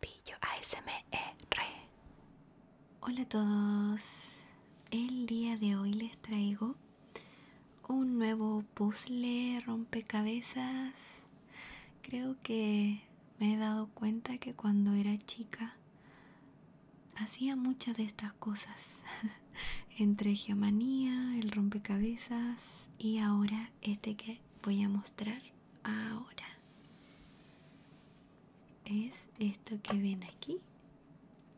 Pillo ASMR. E, Hola a todos. El día de hoy les traigo un nuevo puzzle rompecabezas. Creo que me he dado cuenta que cuando era chica hacía muchas de estas cosas. Entre geomanía, el rompecabezas y ahora este que voy a mostrar ahora es esto que ven aquí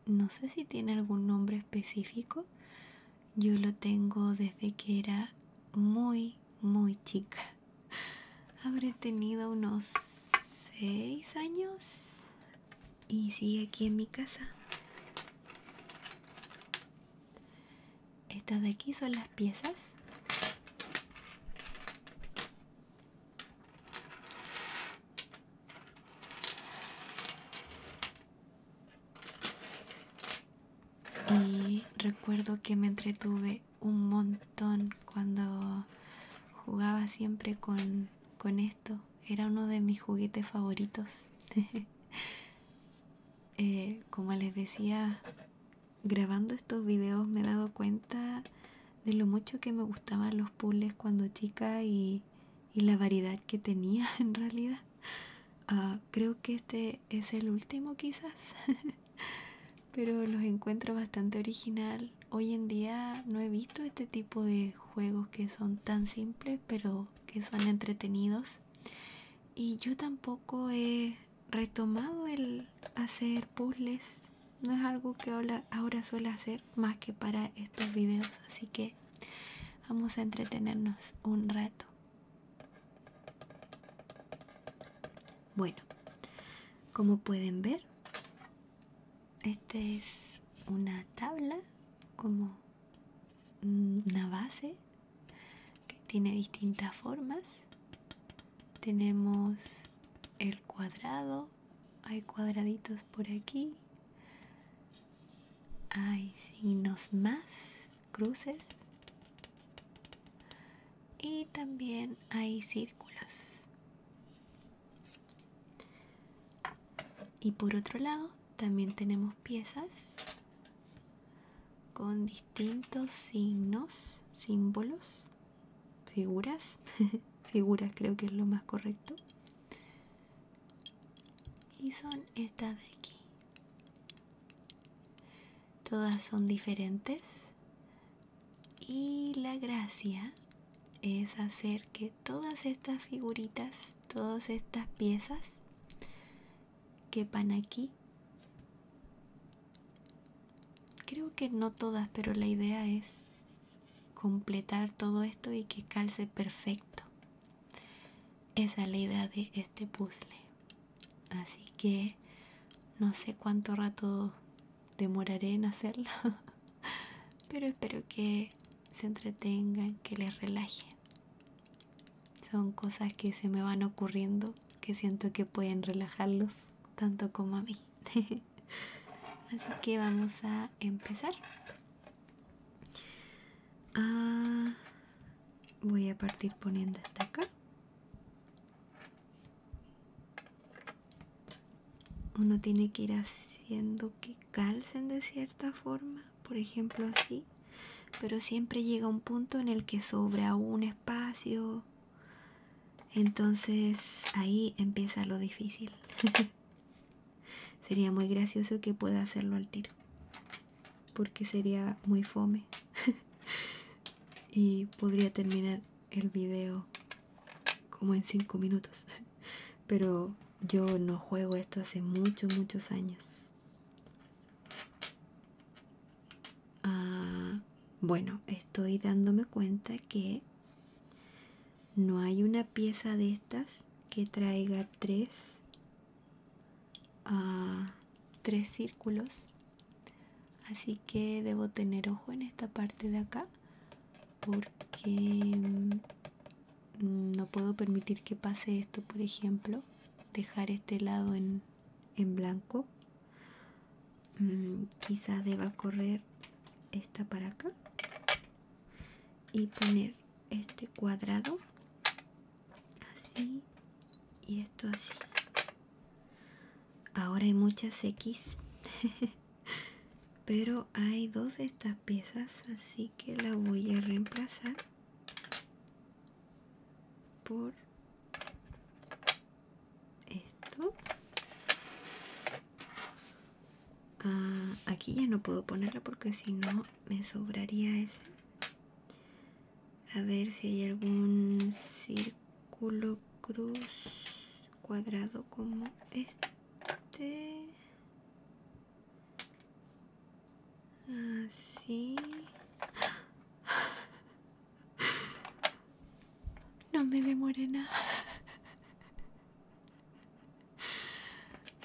no sé si tiene algún nombre específico yo lo tengo desde que era muy muy chica habré tenido unos seis años y sigue aquí en mi casa estas de aquí son las piezas y recuerdo que me entretuve un montón cuando jugaba siempre con, esto era uno de mis juguetes favoritos eh, como les decía grabando estos videos me he dado cuenta de lo mucho que me gustaban los puzzles cuando chica y, la variedad que tenía en realidad. Ah, creo que este es el último quizás, pero los encuentro bastante original. Hoy en día no he visto este tipo de juegos que son tan simples pero que son entretenidos. Y yo tampoco he retomado el hacer puzzles no es algo que ahora, ahora suele hacer más que para estos videos así que vamos a entretenernos un rato bueno como pueden ver esta es una tabla como una base que tiene distintas formas tenemos el cuadrado hay cuadraditos por aquí hay signos más cruces y también hay círculos y por otro lado también tenemos piezas con distintos distintos signos, símbolos, figuras, figuras creo que es lo más correcto. Y son estas de aquí. Todas son diferentes. Y la gracia es hacer que todas estas figuritas, todas estas piezas quepan aquí Creo que no todas, pero la idea es completar todo esto y que calce perfecto. Esa es la idea de este puzzle. Así que no sé cuánto rato demoraré en hacerlo, pero espero que se entretengan, que les relajen Son cosas que se me van ocurriendo que siento que pueden relajarlos tanto como a mí. Así que vamos a empezar. Ah, voy a partir poniendo esta acá. Uno tiene que ir haciendo que calcen de cierta forma, por ejemplo así, pero siempre llega un punto en el que sobra un espacio entonces ahí empieza lo difícil. sería muy gracioso que pueda hacerlo al tiro. Porque sería muy fome. y podría terminar el video como en 5 minutos. Pero yo no juego esto hace muchos, muchos años. Ah, bueno, estoy dándome cuenta que no hay una pieza de estas que traiga tres, ah, tres círculos. Así que debo tener ojo en esta parte de acá porque mm, no puedo permitir que pase esto, por ejemplo, dejar este lado en en blanco mm, quizás deba correr esta para acá y poner este cuadrado así y esto así ahora hay muchas x pero hay dos de estas piezas así que la voy a reemplazar por esto ah, aquí ya no puedo ponerla porque si no me sobraría ese a ver si hay algún círculo cruz cuadrado como este así no me demore nada.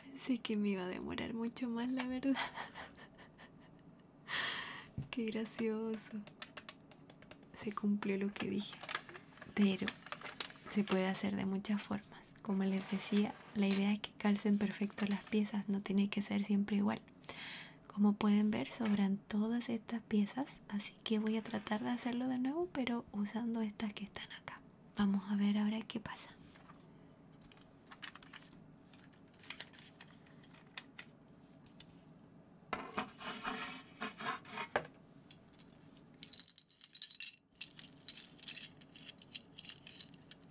Pensé que me iba a demorar mucho más, la verdad. Qué gracioso. Se cumplió lo que dije. Pero se puede hacer de muchas formas. Como les decía, la idea es que calcen perfecto las piezas, no tiene que ser siempre igual. Como pueden ver sobran todas estas piezas, así que voy a tratar de hacerlo de nuevo pero usando estas que están acá. Vamos a ver ahora qué pasa.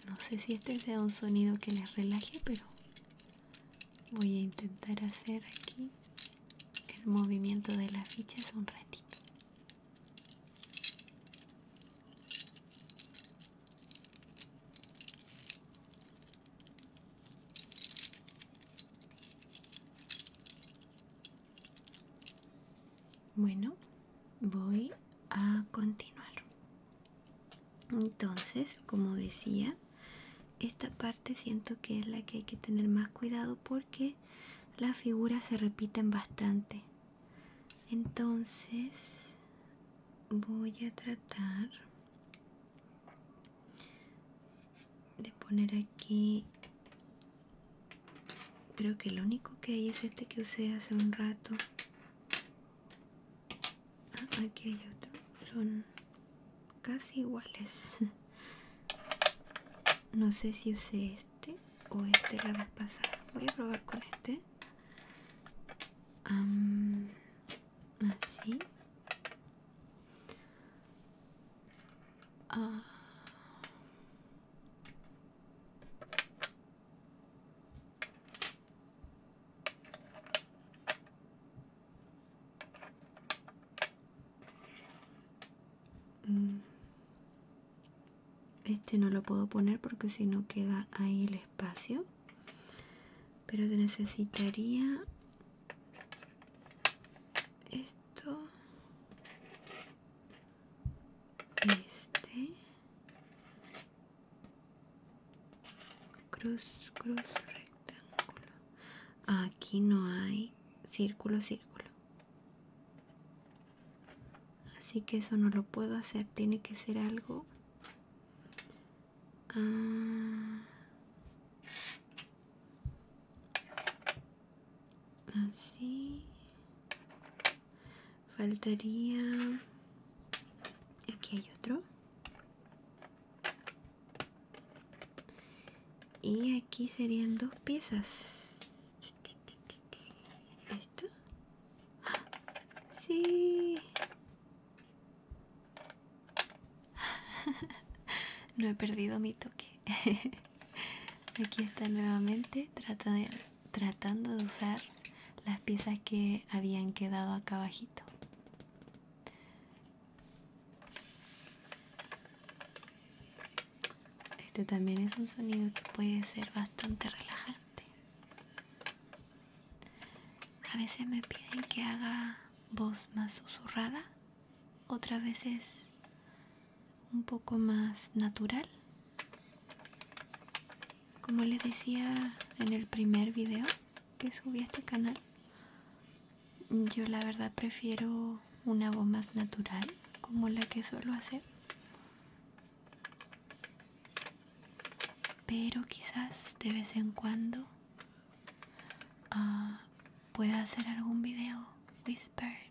No sé si este sea un sonido que les relaje, pero voy a intentar hacer aquí el movimiento de las fichas un ratito bueno voy a continuar entonces como decía esta parte siento que es la que hay que tener más cuidado porque las figuras se repiten bastante entonces voy a tratar de poner aquí creo que lo único que hay es este que usé hace un rato ah, aquí hay otro son casi iguales. No sé si usé este o este la vez pasada. Voy a probar con este. ah. así. Mm. Este no lo puedo poner porque si no queda ahí el espacio. Pero te necesitaría esto. Este cruz, cruz, rectángulo. Aquí no hay círculo, círculo. Así que eso no lo puedo hacer. Tiene que ser algo... Ah, así. Faltaría... Aquí hay otro y aquí serían dos piezas esto sí no he perdido mi toque aquí está nuevamente tratando de usar las piezas que habían quedado acá abajito este también es un sonido que puede ser bastante relajante. A veces me piden que haga voz más susurrada, otras veces un poco más natural. Como les decía en el primer video que subí a este canal, yo la verdad prefiero una voz más natural como la que suelo hacer pero quizás de vez en cuando ah, pueda hacer algún video whispered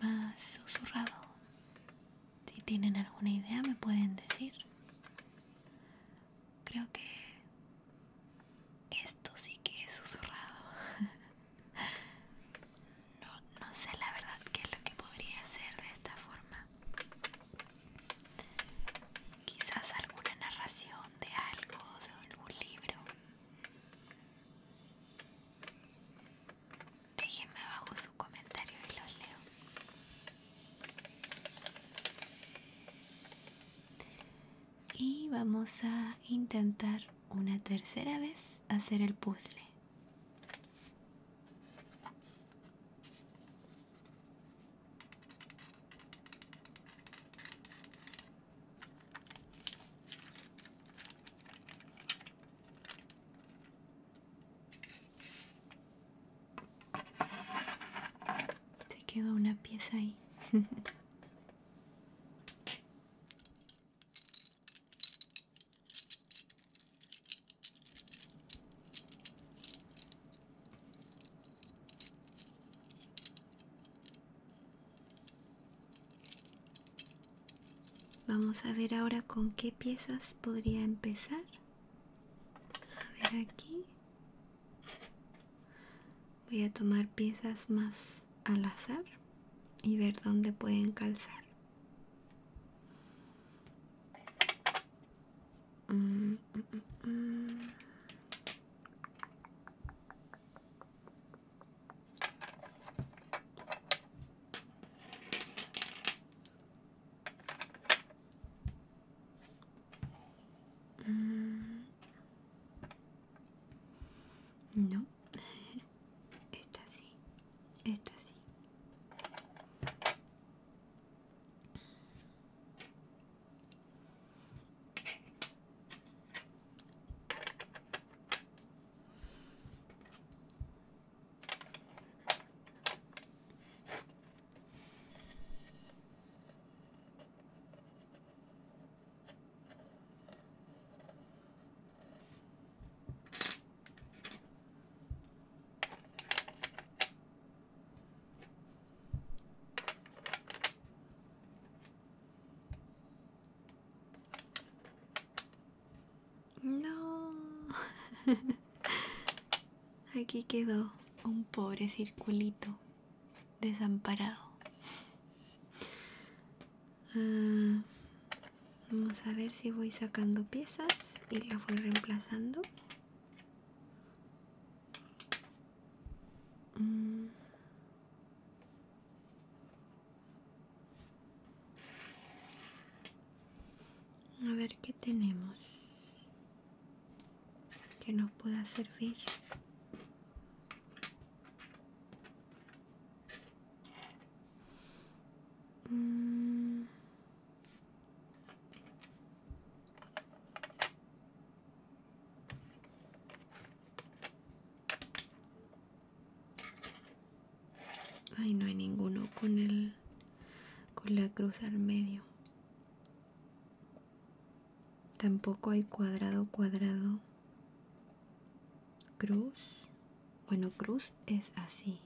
más susurrado si tienen alguna idea me pueden decir creo que esto sí que es susurrado. No, sé la verdad qué es lo que podría hacer de esta forma. Quizás alguna narración de algo, de algún libro. Déjenme abajo su comentario y los leo y vamos a intentar una tercera vez hacer el puzzle se quedó una pieza ahí Vamos a ver ahora con qué piezas podría empezar. A ver aquí voy a tomar piezas más al azar y ver dónde pueden calzar Mm. No, esta así, esta así. No, aquí quedó un pobre circulito desamparado. Ah, vamos a ver si voy sacando piezas y las voy reemplazando. Mm. A ver qué tenemos que nos pueda servir. Mm. Ay, no hay ninguno con el con la cruz al medio. Tampoco hay cuadrado, cuadrado, cruz. Bueno, cruz es así.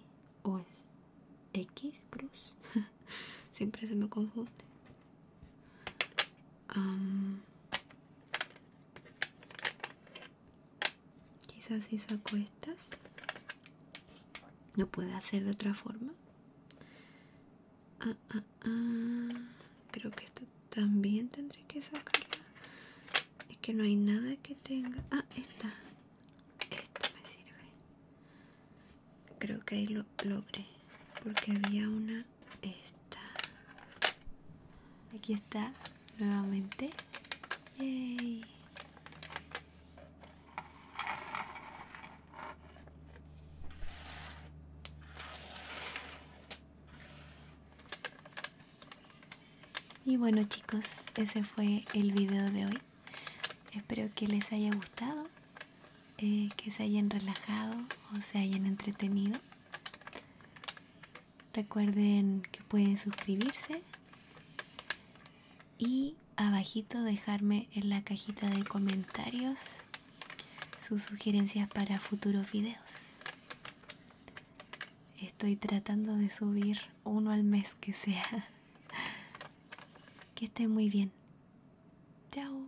O es X cruz. Siempre se me confunde. quizás si saco estas. No puede hacer de otra forma. Ah, ah, ah, creo que esta también tendré que sacarla es que no hay nada que tenga ah esta esta me sirve creo que ahí lo logré porque había una esta aquí está nuevamente Yay. Y bueno chicos, ese fue el video de hoy. Espero que les haya gustado, eh, que se hayan relajado o se hayan entretenido. Recuerden que pueden suscribirse y abajito dejarme en la cajita de comentarios sus sugerencias para futuros videos. Estoy tratando de subir uno al mes que sea. Que esté muy bien. Chao.